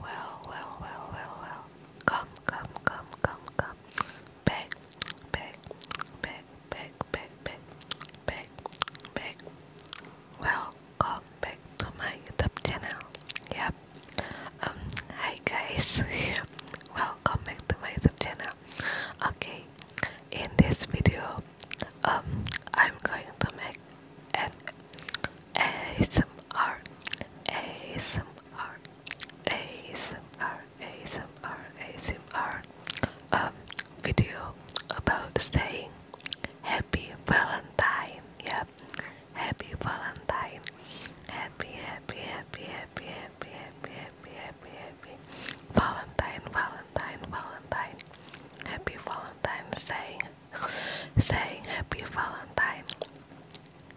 well, well, well, well, well. Come, come, come, come, come. Beg, beg, beg, beg, beg, beg, beg, beg. Welcome back to my YouTube channel. Yep. Um. Hi guys. Welcome back to my YouTube channel. Okay. In this video, um, I'm going to make a ASMR ASMR, video about saying Happy Valentine. Yeah, Happy Valentine. Happy, happy, happy, happy, happy, happy, happy, happy, happy. Valentine, Valentine, Valentine. Happy Valentine. Saying, saying Happy Valentine.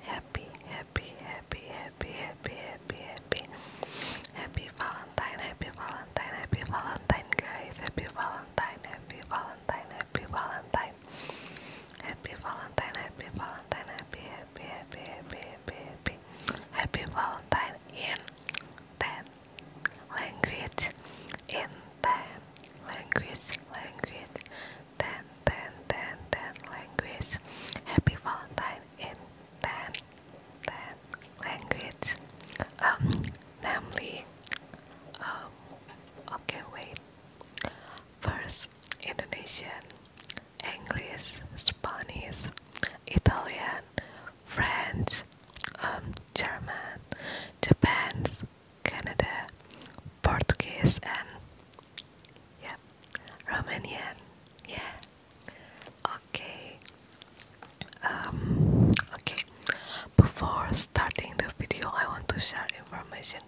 Happy, happy, happy, happy, happy, happy, happy, happy Valentine, happy Valentine, happy Valentine, guys, happy Valentine, happy Valentine, happy Valentine, happy Valentine, happy Valentine, happy, happy, happy, happy, happy, happy, happy Valentine in ten language, in ten language, language. 10 language happy valentine in 10 10 language um, namely um okay wait first Indonesian English Spanish Italian French um, German Japan's Canada, Portuguese, and yeah, Romanian. Yeah. Okay. Um. Okay. Before starting the video, I want to share information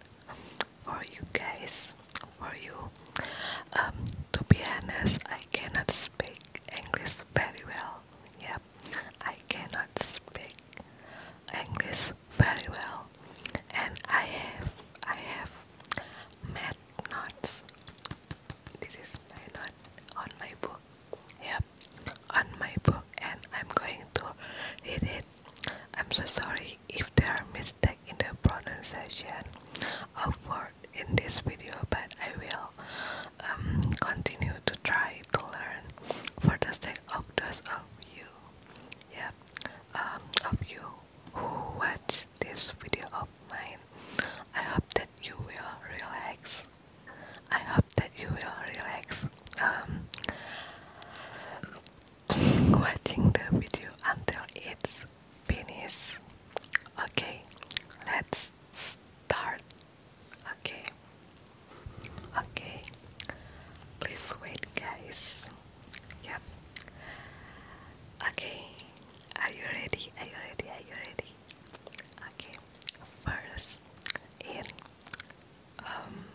for you guys. For you. Um. To be honest, I cannot speak English very well. Yep. I cannot speak English very well, and I have I have math notes. This is my note on my book. Yep, on my book, and I'm going to read it. I'm so sorry if there are mistakes in the pronunciation of word in this video, but I will um, continue to try to learn for the sake of those of you. Yep. Um, of you who watch this video of mine. I hope that you will relax. I hope that you will relax um, watching the video until it's finished. Okay, let's start. Okay, Okay, please wait, guys. Yep. Okay, are you ready? Are you ready? Are you ready? Okay, first in um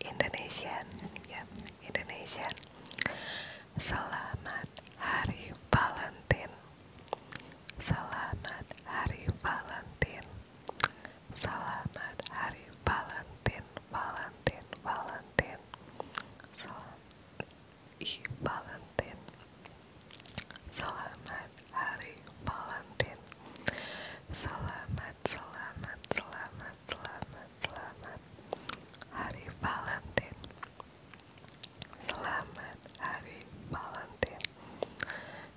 Indonesian, yep, Indonesian. Selamat Hari Valentine. Selamat Hari Valentine. Selamat Hari Valentine, Valentine, Valentine. Selamat I Valentine. Selamat Hari Valentine. Selamat, selamat, selamat, selamat, selamat. Hari Valentine. Selamat Hari Valentine.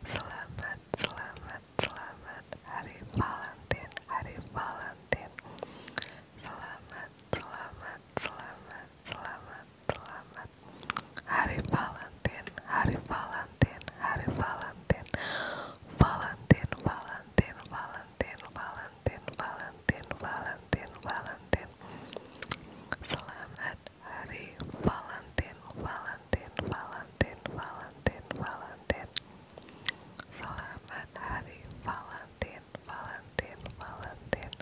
Selamat, selamat, selamat hari Valentine, hari Valentine. Selamat, selamat, selamat, selamat, selamat. Hari Valentine, hari Valentine, hari Valentine. Valentine, Valentine, Valentine, Valentine, Valentine, Selamat hari Valentine, Valentine, Valentine, Valentine, Valentine. Selamat Hari Valentine, Valentine, Valentine.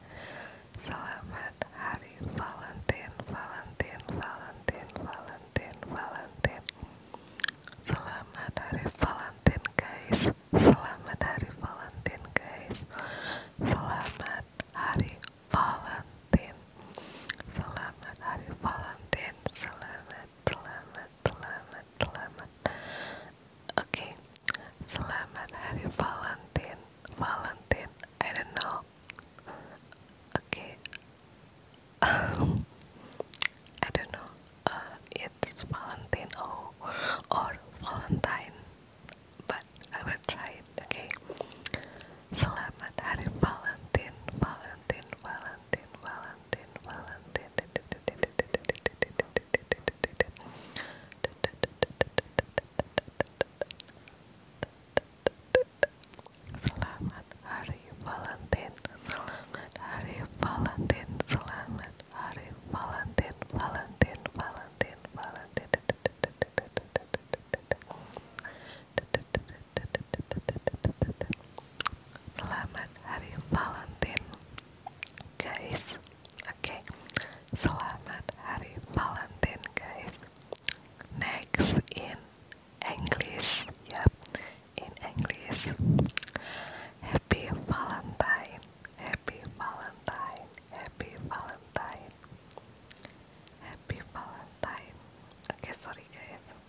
Selamat Hari Valentine, Valentine, Valentine, Valentine, Valentine. Selamat Hari Valentine, guys. Selamat Hari Valentine, guys. Selamat Hari Valentine. Selamat Hari Valentine. Selamat, selamat, selamat selamat okay. selamat hari Valentine Valentine I don't know okay. Um, I don't know uh, it's Valentine or, Valentine but I will try it okay Selamat Hari Valentine, Valentine, Valentine, Valentine, Valentine. Selamat Hari Valentine, Selamat Hari Valentine, Selamat Hari Valentine, Valentine, Valentine, Valentine. Selamat Hari Valentine, guys. Oke, okay. selamat Hari Valentine, guys. Next in English, yep, in English. Happy Valentine, Happy Valentine, Happy Valentine, Happy Valentine. Oke, okay, sorry guys.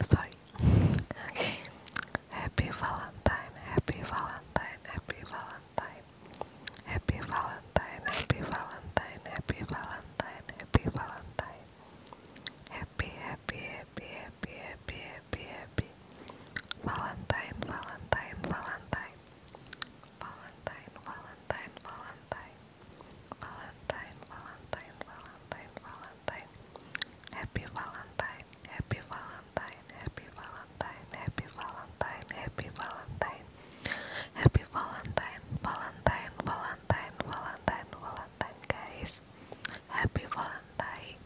Sorry. Okay. Happy Valentine, happy Valentine, happy Valentine. Happy Valentine, happy Valentine, happy Valentine, happy Valentine. Happy, happy, happy, happy, happy, happy, happy. Valentine, Valentine, Valentine. Valentine, Valentine, Valentine. Valentine, Valentine, Valentine, Valentine. Happy Valentine, Happy Valentine, Happy Valentine, Happy Valentine, Happy Valentine, Happy Valentine, Valentine, Valentine, Valentine, Valentine, guys. Happy Valentine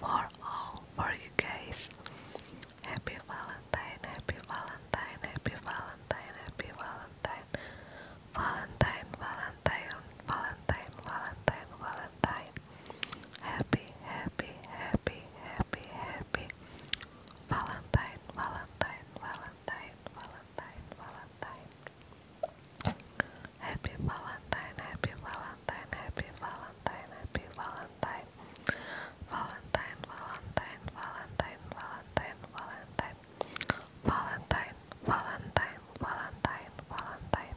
for all, for you guys. Happy Valentine, Happy Valentine, Happy Valentine, Happy Valentine. Valentine, Valentine, Valentine, Valentine, Valentine. Happy, happy, happy, happy, happy. Valentine, Valentine, Valentine, Valentine, Valentine. Happy Valentine, happy Valentine, happy Valentine, happy Valentine. Valentine, Valentine, Valentine, Valentine, Valentine. Valentine, Valentine, Valentine, Valentine.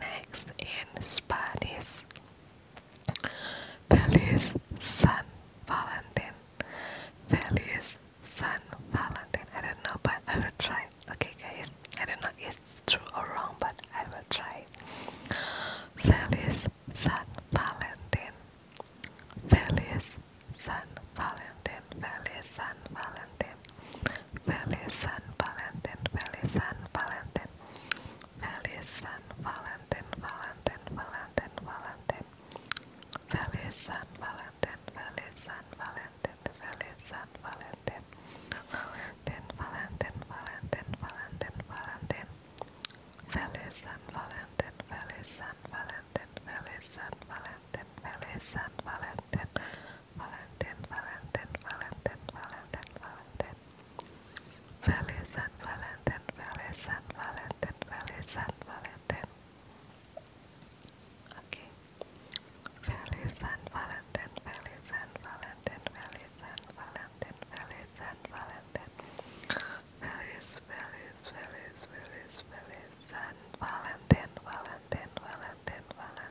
Next in Spanish, Feliz San Valentin. Feliz San Valentin. I don't know, but I will try. Okay, guys. I don't know if it's true or wrong, but I will try. Feliz San Valentin. Feliz San Valentin. Feliz San Valentin. Feliz San Valentin, Feliz San Valentin, Feliz San Valentin, Valentin, Valentin, Valentin, Feliz San Valentin, Feliz San Valentin, Feliz San Valentin, Valentin, Valentin, Valentin, Valentin, Valentin, Feliz San Valentin, Feliz San Valentin, Feliz San Valentin, Feliz San Valentin. Valentine, Valentine, Valentine, Valentine, Valentine. Feliz San Valentine, Feliz San Valentine, Feliz San Valentine. Okay. Feliz San Valentine, Feliz San Valentine, Feliz San Valentine, Feliz San Valentine. Feliz, Feliz, Feliz, Feliz, Feliz San Valentine, Valentine, Valentine, Valentine.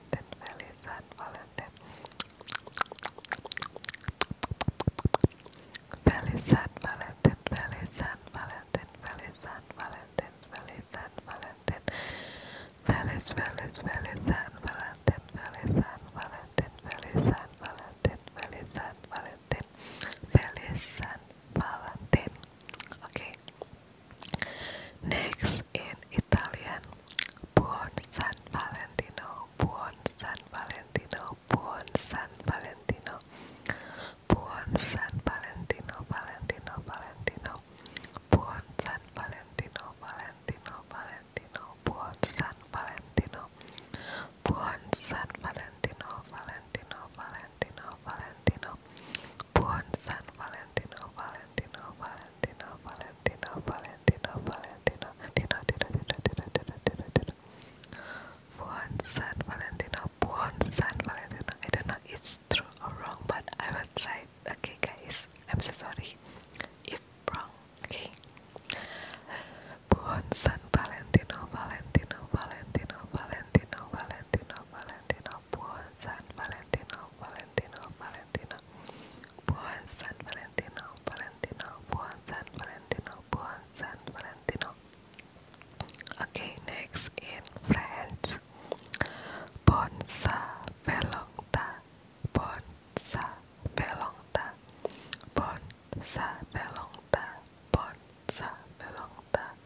Valentine, feliz San Valentin. Feliz San Valentin, feliz San Valentin, feliz San Valentin, feliz San Valentin. Feliz, feliz, feliz San Valentin, feliz San Valentin, feliz San Valentin, feliz San Valentin, feliz San Valentin. Okay. Next, in Italian, Buon San Valentino, Buon San Valentino, Buon San Valentino, Buon San Valentino, Valentino, Valentino, Buon San Valentino, Valentino, Valentino, Buon San Valentino, Buon San Valentino, Valentino, Valentino, Valentino, Buon San Valentino, Valentino, Valentino, Valentino, Valentino, Valentino, Valentino, Valentino, Buon San Valentino, Buon San Valentino. I don't know it's true or wrong, but I will try. Okay, guys, I'm so sorry if wrong. Okay. Buon San Valentino, Valentino, Valentino, Valentino, Valentino, Valentino, Buon San Valentino, Valentino, Valentino, Buon San Valentino, Valentino, Buon San Valentino, Buon San Valentino. Okay, next in French, Bon Sa Velongta, Bon Sa Velongta, Bon Sa Velongta, Bon Sa Velongta.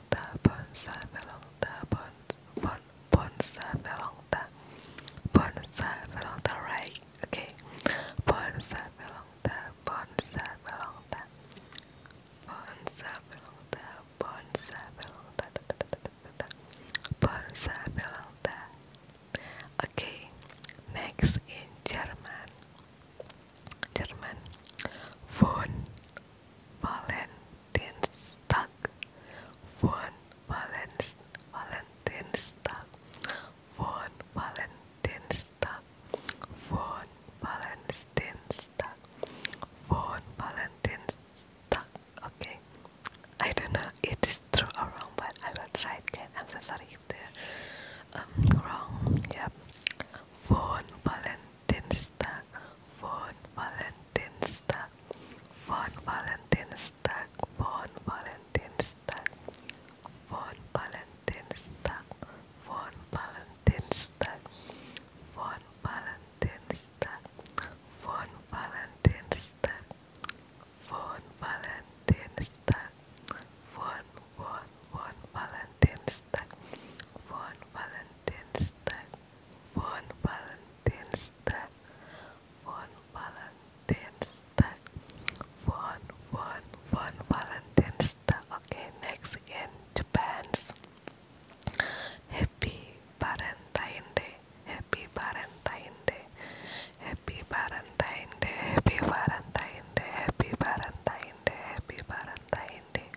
velongta, bonsai velongta, bon, bonsai velongta, bonsai velongta, right? Okay, bonsai velongta, bonsai velongta, bonsai velongta, bonsai velongta, bonsai velongta. Okay, next in German. German. Von, Valentinstag von Valenz, Valentinstag von Valentinstag von Valentinstag von Valentinstag. Okay, I don't know it's true or wrong, but I will try again. I'm so sorry if they're um, wrong. Yep, von Valentinstag. Valentinstag, von Valentinstag, von Valentinstag, von Valentinstag, von Valentinstag, von Valentinstag, von Valentinstag, von Valentinstag, von Valentinstag, von von von Valentinstag, von Valentinstag. Valentinstag, von Valentinstag, von Valentinstag, von, von, von Valentinstag. Okay, next in Japan's. Happy Valentine Day, Happy Valentine Day, Happy Valentine Day, Happy Valentine Day, Happy Valentine Day, Happy Valentine Day.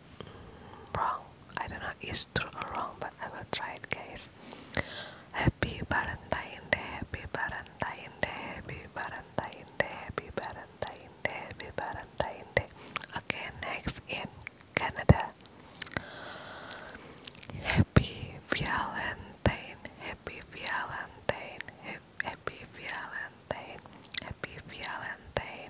wrong. I don't know it's true or wrong, but I will try it, guys. Happy Valentine Day, Happy Valentine Day, Happy Valentine Day, Happy Valentine Day, Happy Valentine Day. Okay, next in Canada. Happy Valentine, Happy Valentine, Happy Valentine, Happy Valentine,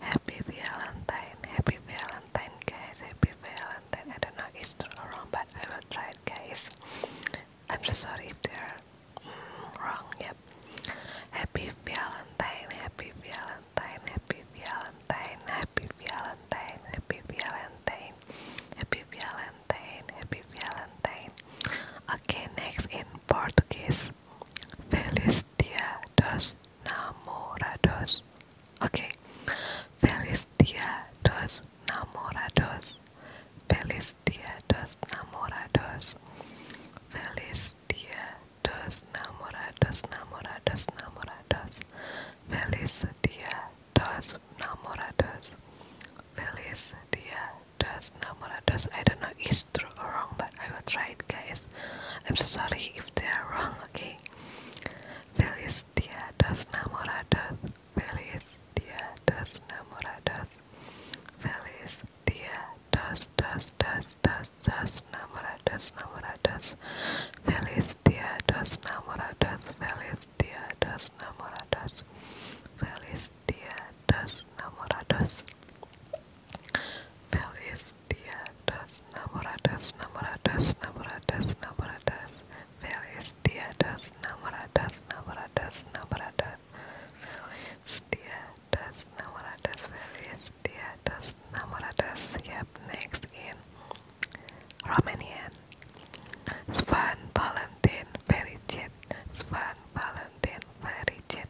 Happy Valentine, Happy Valentine, guys, Happy Valentine. I don't know if it's true or wrong, but I will try guys. I'm sorry if they're mm, wrong. Yep. Happy Valentine, Happy Valentine, Happy Valentine, Happy Valentine, Happy Valentine, Happy Valentine, Happy Valentine. Okay, next in Portuguese, Feliz Dia dos namorados. Okay. Feliz Dia dos Namorados. Feliz Dia dos Namorados. Feliz Dia dos Namorados. Namorados. Namorados. Feliz Dia dos Namorados. Feliz Dia dos Namorados. I don't know, is true or wrong, but I will try it guys I'm so sorry if they are wrong okay Feliz Dia dos Namorados Feliz Dia dos Namorados Feliz Dia dos dos dos dos dos Namorados Namorados Feliz Dia dos Namorados Feliz Dia dos Namorados Feliz Dia dos Namorados Philistia does namoradas, namoradas, namoradas, namoradas. Philistia does namoradas, namoradas, namoradas. Philistia does namoradas, Philistia does namoradas. Yep, next in Romanian. Svan Valentin Fericit, Svan Valentin Fericit,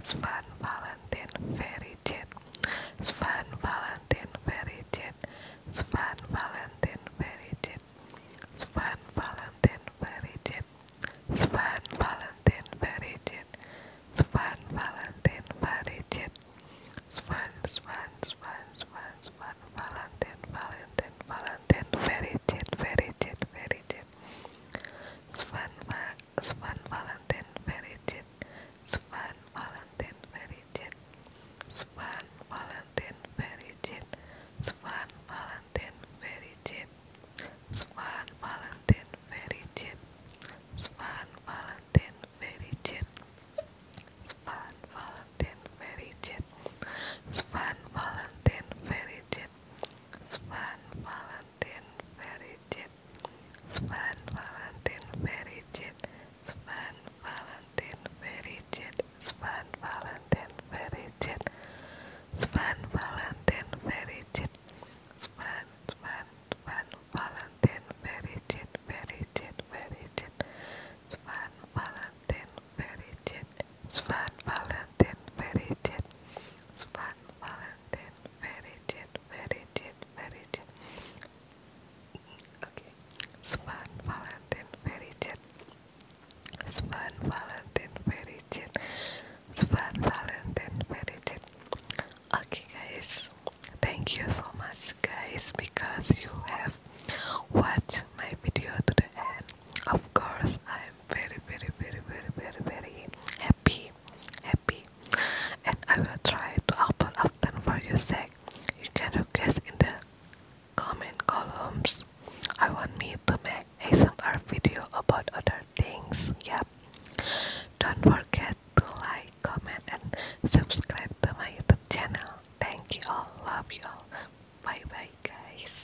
Svan Valentine Fairy Jet Svan Valentine Fairy Jet Svan Valentine Fairy Jet Svan Valentine Fairy Jet Svan Valentine Fairy Jet Svan Valentine Fairy Jet Svan Svan Svan Svan Svan Valentine Valentine Valentine Fairy Jet Fairy Jet Fairy Jet Svan, Va Svan Valentin Verigin, Svan Valentin Verigin, Svan Valentin Verigin, Svan Valentin Verigin, Svan Valentin Verigin, Svan Valentin Verigin, Svan Valentin Verigin, Svan Valentin Verigin, Svan Valentin Valentine Verigit Sven Valentine Verigit Sven Valentine Verigit Sven Valentine Verigit Sven Valentine Verigit Sven Sven Sven Valentine Verigit Verigit Verigit Sven Valentine Verigit Sven Valentine Verigit Sven Valentine very jet, very jet, very jet. Okay, Span Valentine, very jet. Span Valentine, very jet. Span Valentine, very jet. Okay, guys, thank you so much, guys, because you have watched my video to the end. Of course, I am very, very, very, very, very, very happy. happy happy, and I will try to upload often for you. sake. You can request in the comment columns. I want me to make ASMR video about other things. Yeah, Don't forget to like, comment, and subscribe to my YouTube channel. Thank you all. Love you all. Bye bye, guys.